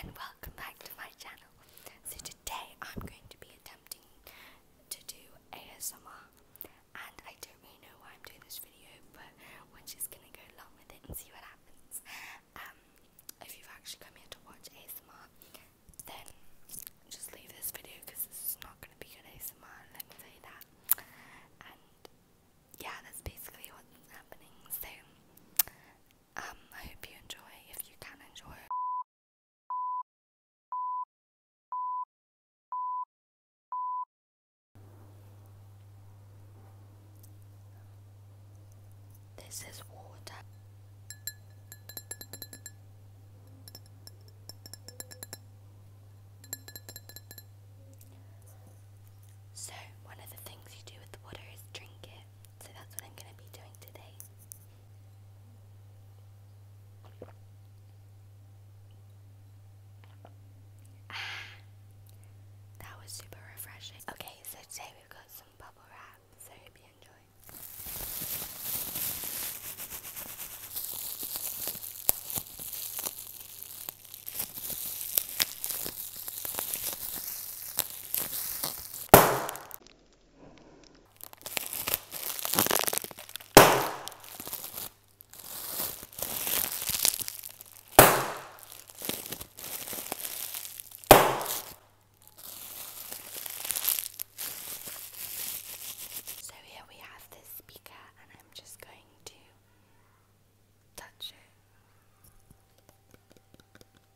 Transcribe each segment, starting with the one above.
and welcome back to my channel. So today I'm going to be attempting to do ASMR and I don't really know why I'm doing this video but we're just gonna go along with it and see what happens. Um, if you've actually come here to watch ASMR then just leave this video because this is not gonna be good ASMR, let me tell that. And yeah, that's basically what's happening. So um, I hope you enjoy if you can enjoy this is water. So, one of the things you do with water is drink it. So, that's what I'm going to be doing today. that was super refreshing. Okay, so today we've got some bubble wrap, so I hope you enjoy. So here we have this speaker, and I'm just going to touch it.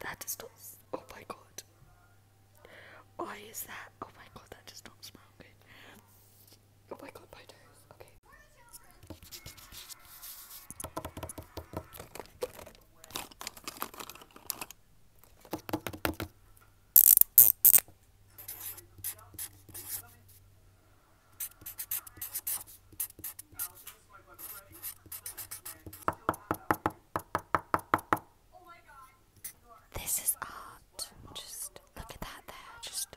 that does not. Oh my god. Why is that? Oh my god, that does not smell good. Oh my god, Okay. This is art. Just look at that there. Just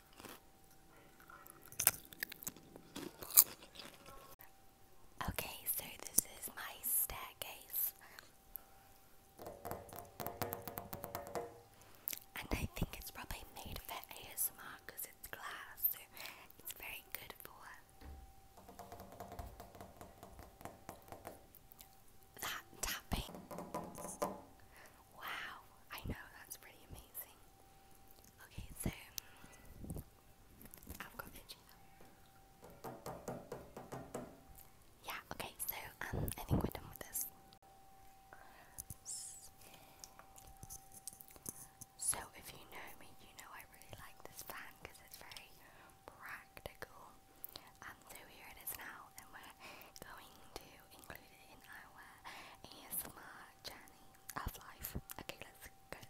Okay, so this is my staircase. And I think it's probably made for ASMR because it's glass, so it's very good for that tapping. Wow, I know that's pretty amazing. Okay, so I've got itchy now. Yeah, okay, so um I think we're done with this. So if you know you know I really like this fan because it's very practical. And um, so here it is now and we're going to included in our ASMR journey of life. Okay, let's go.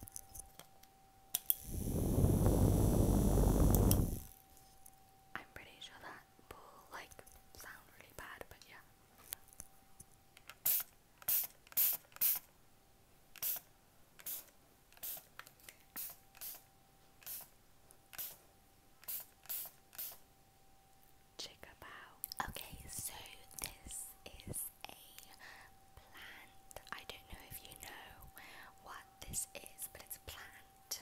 I'm pretty sure that will like sound really bad, but yeah. Check them Okay, so this is a plant. I don't know if you know what this is, but it's a plant.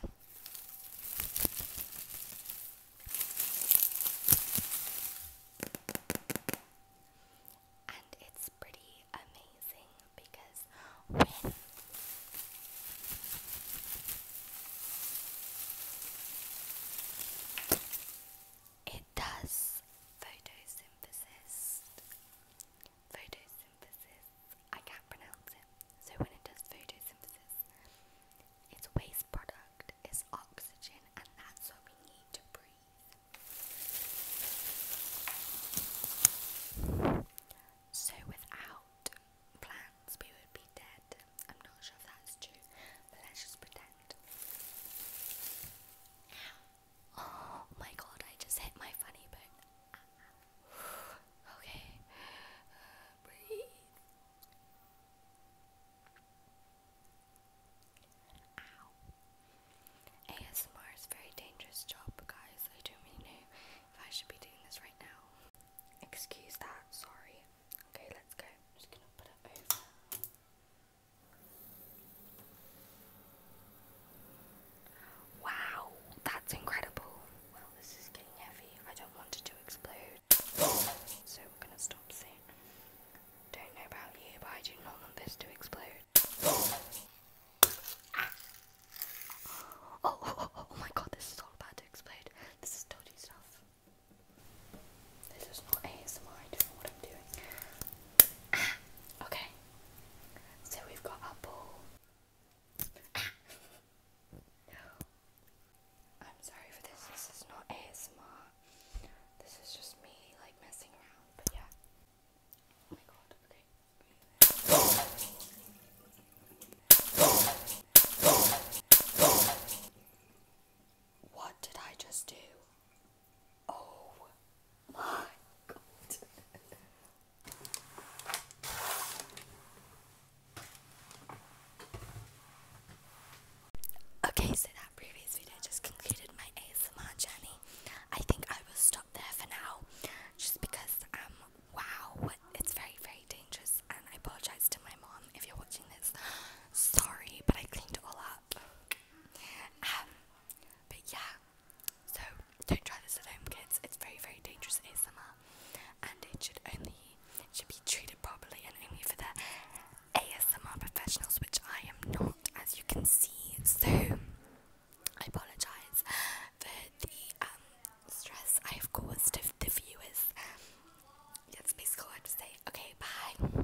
And it's pretty amazing because it does photosynthesis. Photosynthesis. I can't pronounce it. So when it does photosynthesis, its waste product is oxygen, and that's what we need to breathe. So without plans, we would be dead. I'm not sure if that's true, but let's just pretend. Oh my god, I just hit my funny bone. okay, breathe. Ow. ASMR is a very dangerous job, guys. I don't really know if I should be doing this right now. Excuse that, sorry. Okay, let's go. I'm just going to put it over. Wow, that's incredible. Well, this is getting heavy. I don't want it to explode. So we're going to stop soon. Don't know about you, but I do not want this to explode. Ah. Oh, oh, oh, oh, oh my god, this is all about to explode. This is dodgy stuff. This is not ASMR, what I'm doing. Ah, okay. So we've got our ah. I'm sorry for this, this is not ASMR. This is just me like messing around, but yeah. Oh my god, okay. What did I just do? Oh my god. okay, so that previous video just concluded my ASMR journey. I think I will stop there for now just because, um, wow, it's very, very dangerous, and I apologize to my mom if you're watching this, sorry, but I cleaned it all up. Um, but yeah, so don't try this at home, kids. It's very, very dangerous ASMR, and it should only should be treated properly and only for the ASMR professionals, which I am not, as you can see. So I apologize for the um, stress I have caused the view is. basically all I have to say. Okay, bye.